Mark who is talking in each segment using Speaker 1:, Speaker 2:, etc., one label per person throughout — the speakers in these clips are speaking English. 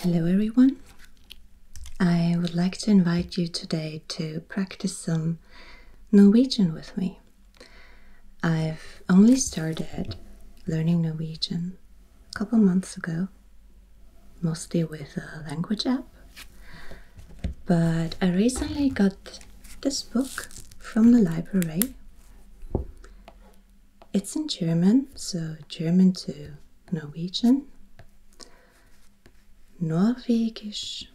Speaker 1: Hello everyone! I would like to invite you today to practice some Norwegian with me. I've only started learning Norwegian a couple months ago, mostly with a language app, but I recently got this book from the library it's in German, so German to Norwegian. Norwegisch.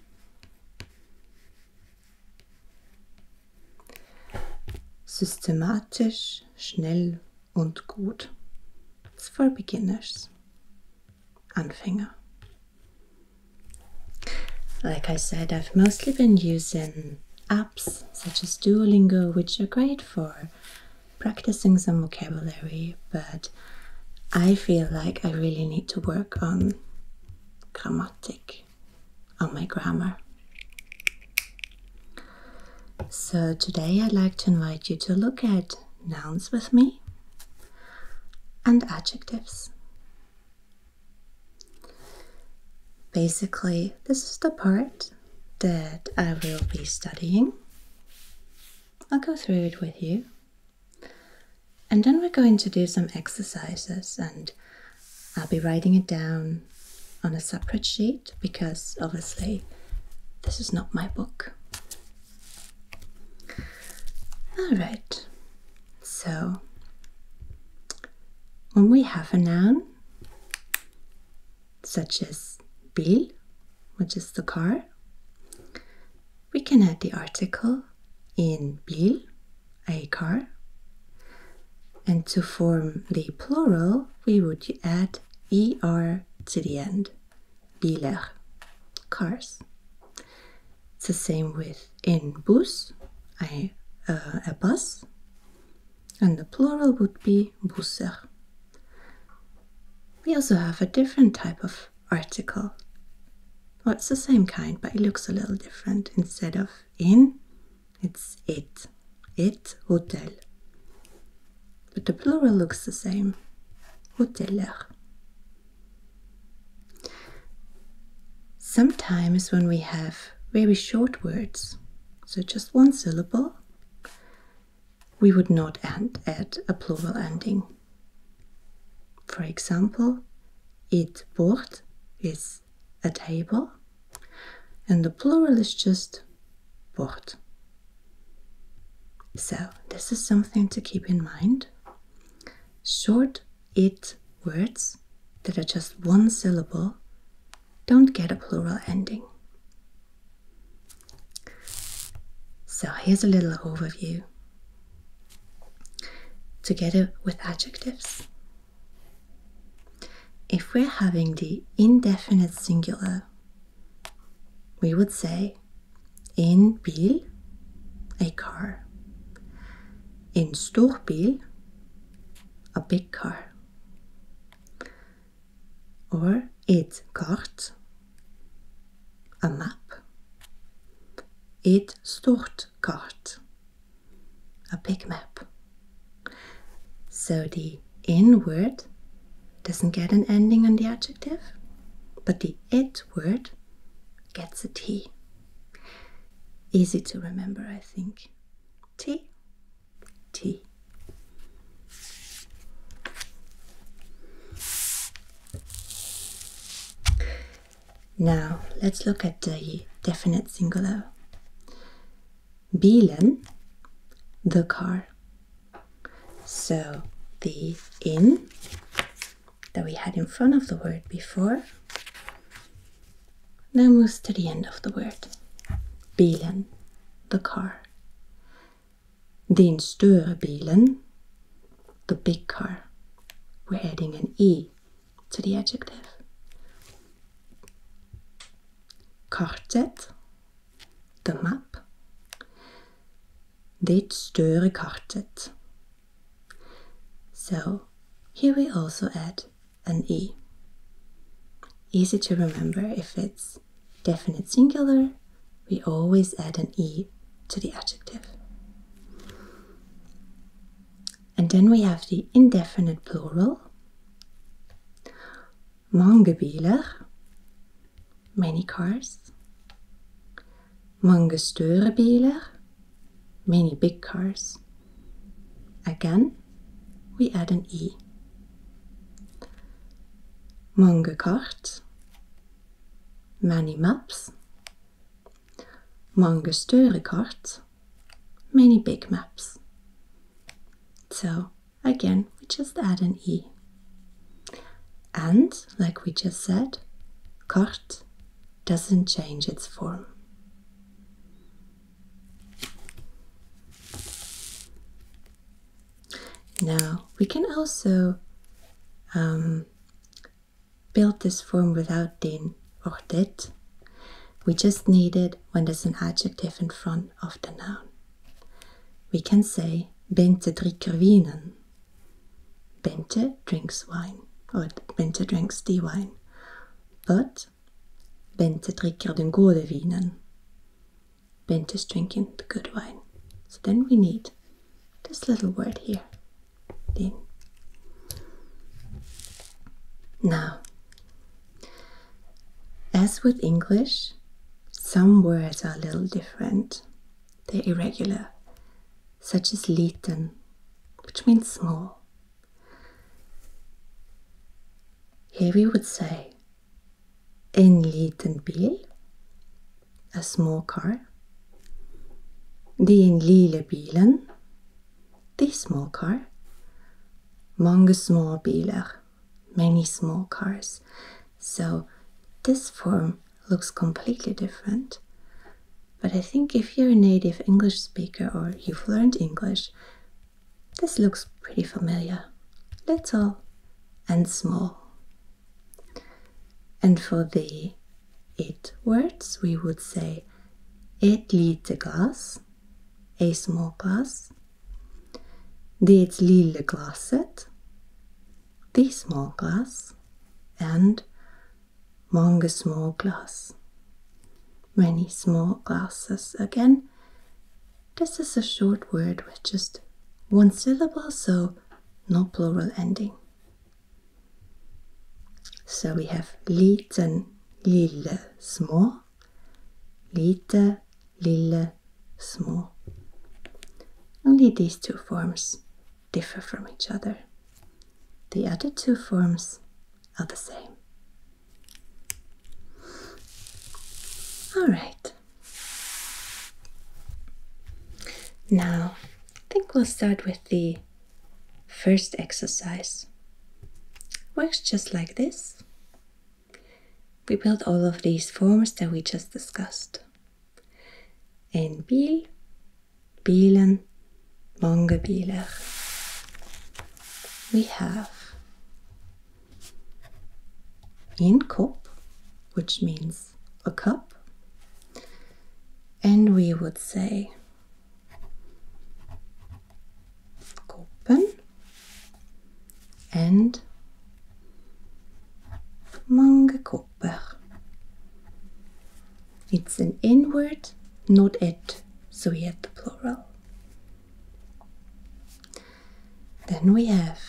Speaker 1: Systematisch, schnell und gut. It's for beginners. Anfänger. Like I said, I've mostly been using apps such as Duolingo, which are great for practicing some vocabulary, but I feel like I really need to work on grammatic, on my grammar. So today I'd like to invite you to look at nouns with me and adjectives. Basically, this is the part that I will be studying. I'll go through it with you. And then we're going to do some exercises, and I'll be writing it down on a separate sheet because obviously this is not my book. All right, so when we have a noun, such as bil, which is the car, we can add the article in bil, a car. And to form the plural, we would add er to the end, biler, cars. It's the same with in bus, a, uh, a bus, and the plural would be be We also have a different type of article. Well, it's the same kind, but it looks a little different. Instead of in, it's it. It hotel. But the plural looks the same. Hoteller. Sometimes when we have very short words, so just one syllable, we would not add, add a plural ending. For example, it bord is a table, and the plural is just bord. So, this is something to keep in mind. Short it words that are just one syllable don't get a plural ending. So here's a little overview together with adjectives. If we're having the indefinite singular, we would say in bil, a car, in stor storbil, a big car, or it's cart, a map, et stort cart, a big map. So the in word doesn't get an ending on the adjective, but the it word gets a T. Easy to remember, I think. T T. Now let's look at the definite singular. Bilen, the car. So the in that we had in front of the word before now Then was to the end of the word. Bilen, the car. Den store bilen, the big car. We're adding an E to the adjective. Kartet, the map. Dit store kartet. So here we also add an E. Easy to remember if it's definite singular, we always add an E to the adjective. And then we have the indefinite plural. Mange biler, many cars. Mange store biler, many big cars. Again, we add an E. Mange kart, many maps. Mange større kart, many big maps. So again, we just add an E. And, like we just said, cart doesn't change its form. Now we can also um, build this form without den or det. We just need it when there's an adjective in front of the noun. We can say Bente drikker winen. Bente drinks wine, or Bente drinks the wine. But Bente drikker den gode vinen. Bente's drinking the good wine. So then we need this little word here. Din. Now, as with English, some words are a little different. They're irregular, such as liten, which means small, here we would say en liten bil, a small car. Den lille bilen, the small car. Mange small biler, many small cars. So this form looks completely different. But I think if you're a native English speaker or you've learned English, this looks pretty familiar. Little and small. And for the it words, we would say it little glass, a small glass, det lille glaset, the small glass, and mange small glass. Many small glasses again. This is a short word with just one syllable, so no plural ending. So we have liten, lille, small. Lite, lille, small. Only these two forms differ from each other. The other two forms are the same. Alright. Now, I think we'll start with the first exercise. Works just like this. We build all of these forms that we just discussed. En bil, bilen, mange biler. We have in cup, which means a cup, and we would say kopen and mange kopper. It's an word, not it, so we add the plural. Then we have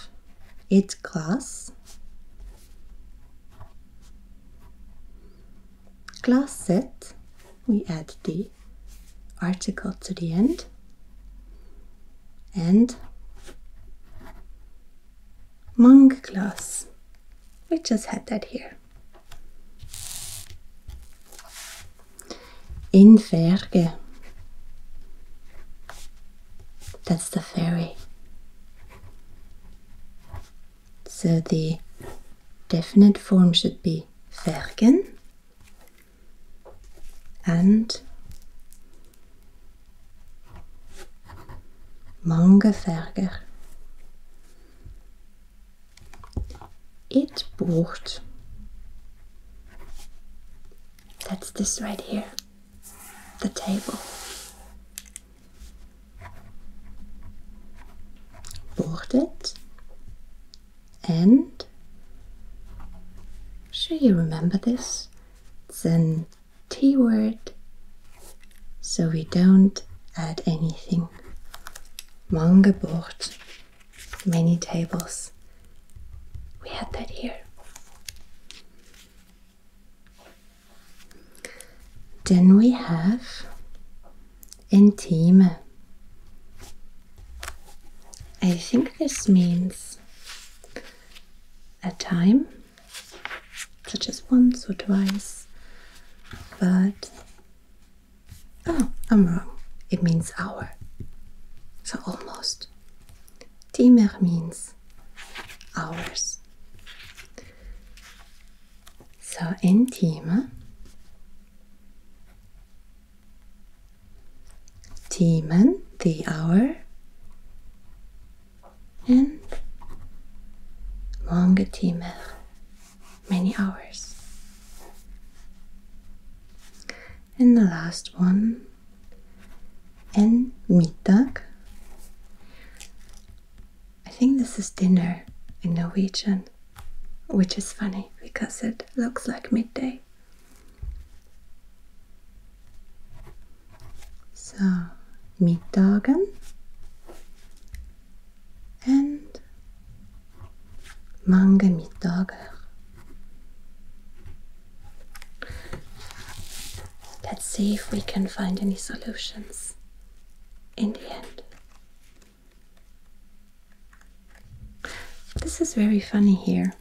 Speaker 1: its class, class set, we add the article to the end, and monk class. We just had that here. Inferge. That's the ferry. So the definite form should be vergen and mangeverger it bought that's this right here the table bought it and sure you remember this Then. T word. So we don't add anything. Mangeboort. Many tables. We had that here. Then we have intime. I think this means a time such as once or twice, but oh, I'm wrong. It means hour, so almost. Timer means hours. So in Timer, Timen, the hour, and longer timer, many hours. And the last one, and mittag. I think this is dinner in Norwegian, which is funny because it looks like midday. So, middagen and mange middager. Let's see if we can find any solutions in the end. This is very funny here.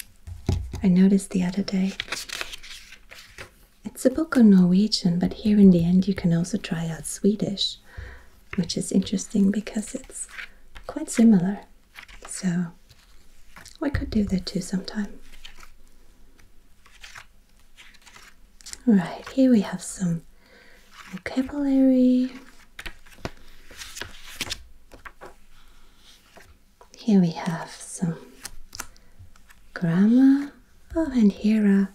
Speaker 1: I noticed the other day it's a book on Norwegian, but here in the end you can also try out Swedish, which is interesting because it's quite similar. So we could do that too sometime. Right, here we have some vocabulary. Here we have some grammar oh, and here are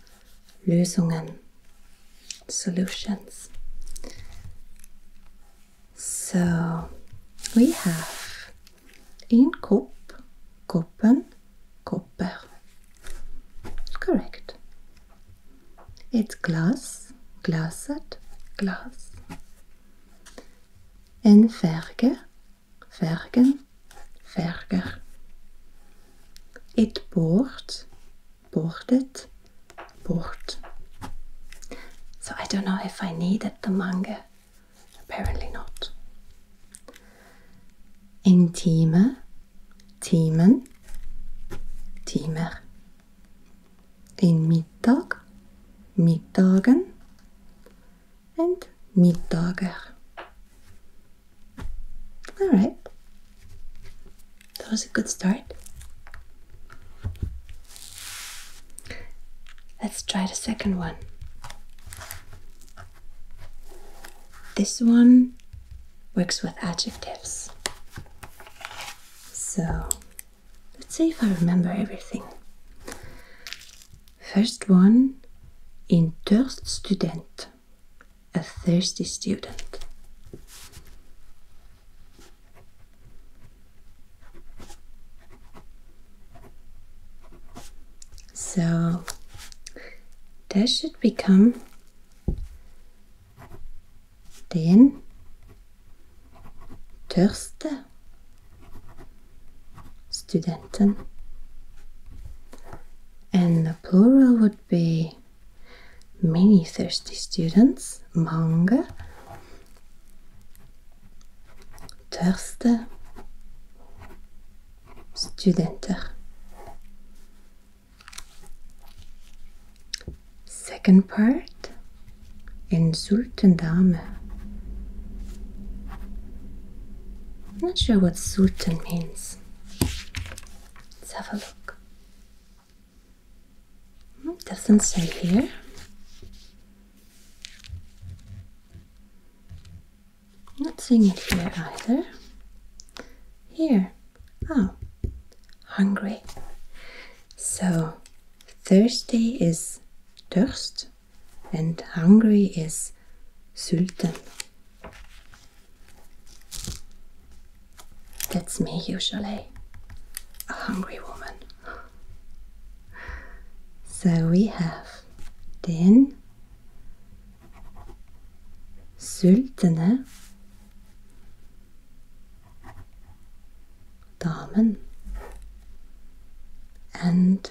Speaker 1: Lösungen, solutions. So we have in Kop, copper, copper. Correct. It's glass, glassed, glass. En Verge, vergen, werker. it boord, bordet, boord. So I don't know if I needed the manga. Apparently not. Intieme, teamen, teamer. In middag, middagen, and dogger. Alright, that was a good start. Let's try the second one. This one works with adjectives. So let's see if I remember everything. First one in thirst student, a thirsty student. So that should become den törste studenten. And the plural would be many thirsty students, mange, tørste, studenter. Second part, en sulten dame. I'm not sure what Sultan means. Let's have a look. Hmm, doesn't say here. not seeing it here either. Here. Oh, hungry. So, thirsty is Durst and hungry is Sultan. That's me usually, a hungry woman. So we have den Sultane Damen and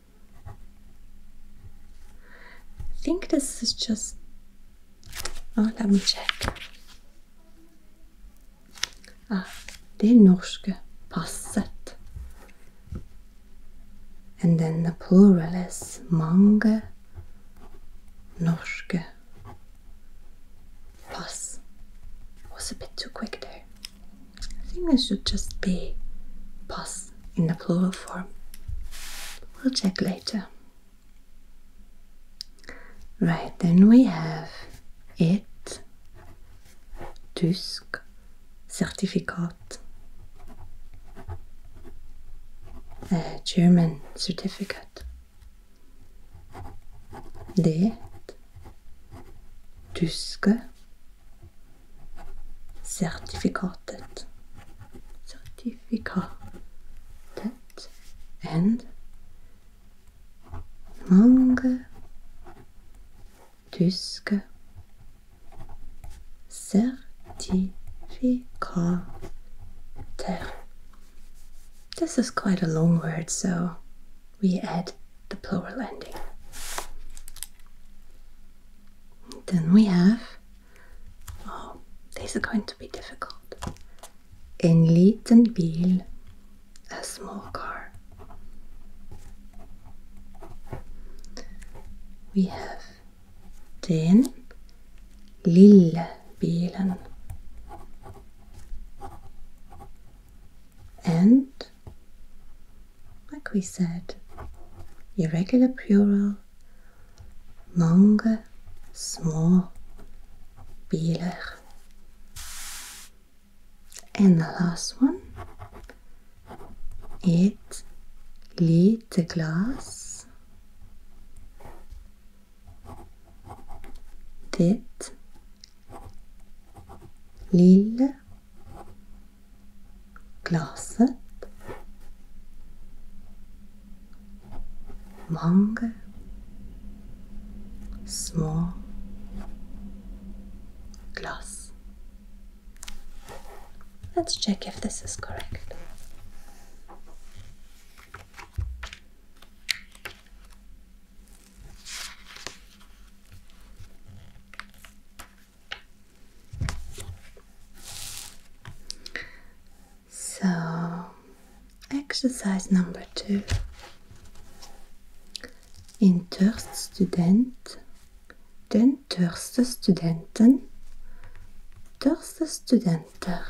Speaker 1: I think this is just. Oh, let me check. Ah, er norske passet. And then the plural is mange norske pass. Was a bit too quick there. I think it should just be "pass" in the plural form. We'll check later. Right, then we have it, Tysk, Certificat, a German certificate. Det tyske Certificated, certificated, and mange tyske certificater. This is quite a long word, so we add the plural ending. Then we have, oh, these are going to be difficult. En liten bil, a small car. We have den lille bilen and like we said, irregular plural, mange, small, biler. And the last one, it, lite glass, dit Lille glaset mange små glass. Let's check if this is correct. So, exercise number two. In Turst student, den Törste studenten, Törste studenter.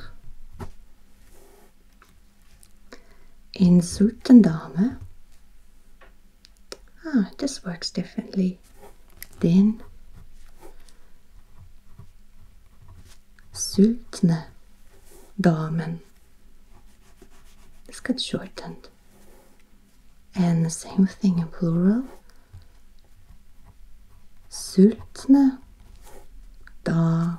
Speaker 1: Insult and dame. Ah, it works differently. Then sultne damen. This got shortened. And the same thing in plural. Sultne da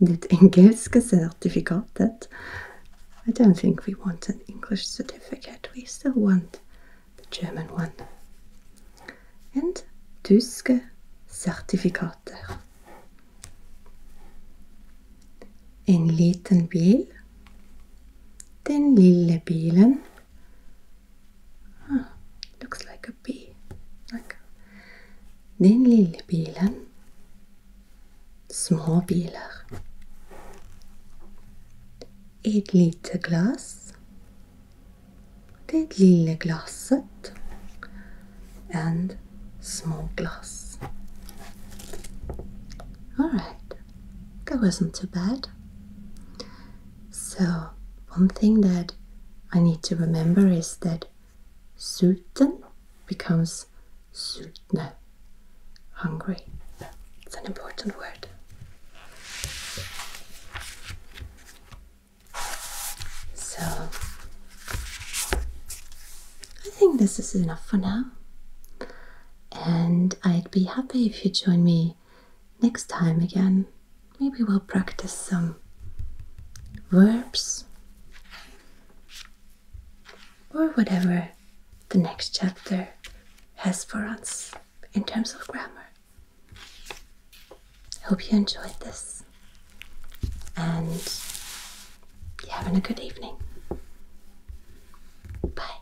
Speaker 1: Need English certificate. I don't think we want an English certificate. We still want the German one. And Tyske Zertifikate. En liten bil. Den lille bilen. Ah, looks like a. B. a bee. Like Den lille bilen. Små biler. Et lite glass. Det er lille glasset. And small glass. Alright, that wasn't too bad. So, one thing that I need to remember is that Sultan becomes sultne, hungry. It's an important word. So, I think this is enough for now. And I'd be happy if you join me next time again maybe we'll practice some verbs or whatever the next chapter has for us in terms of grammar. I Hope you enjoyed this and you having a good evening. Bye.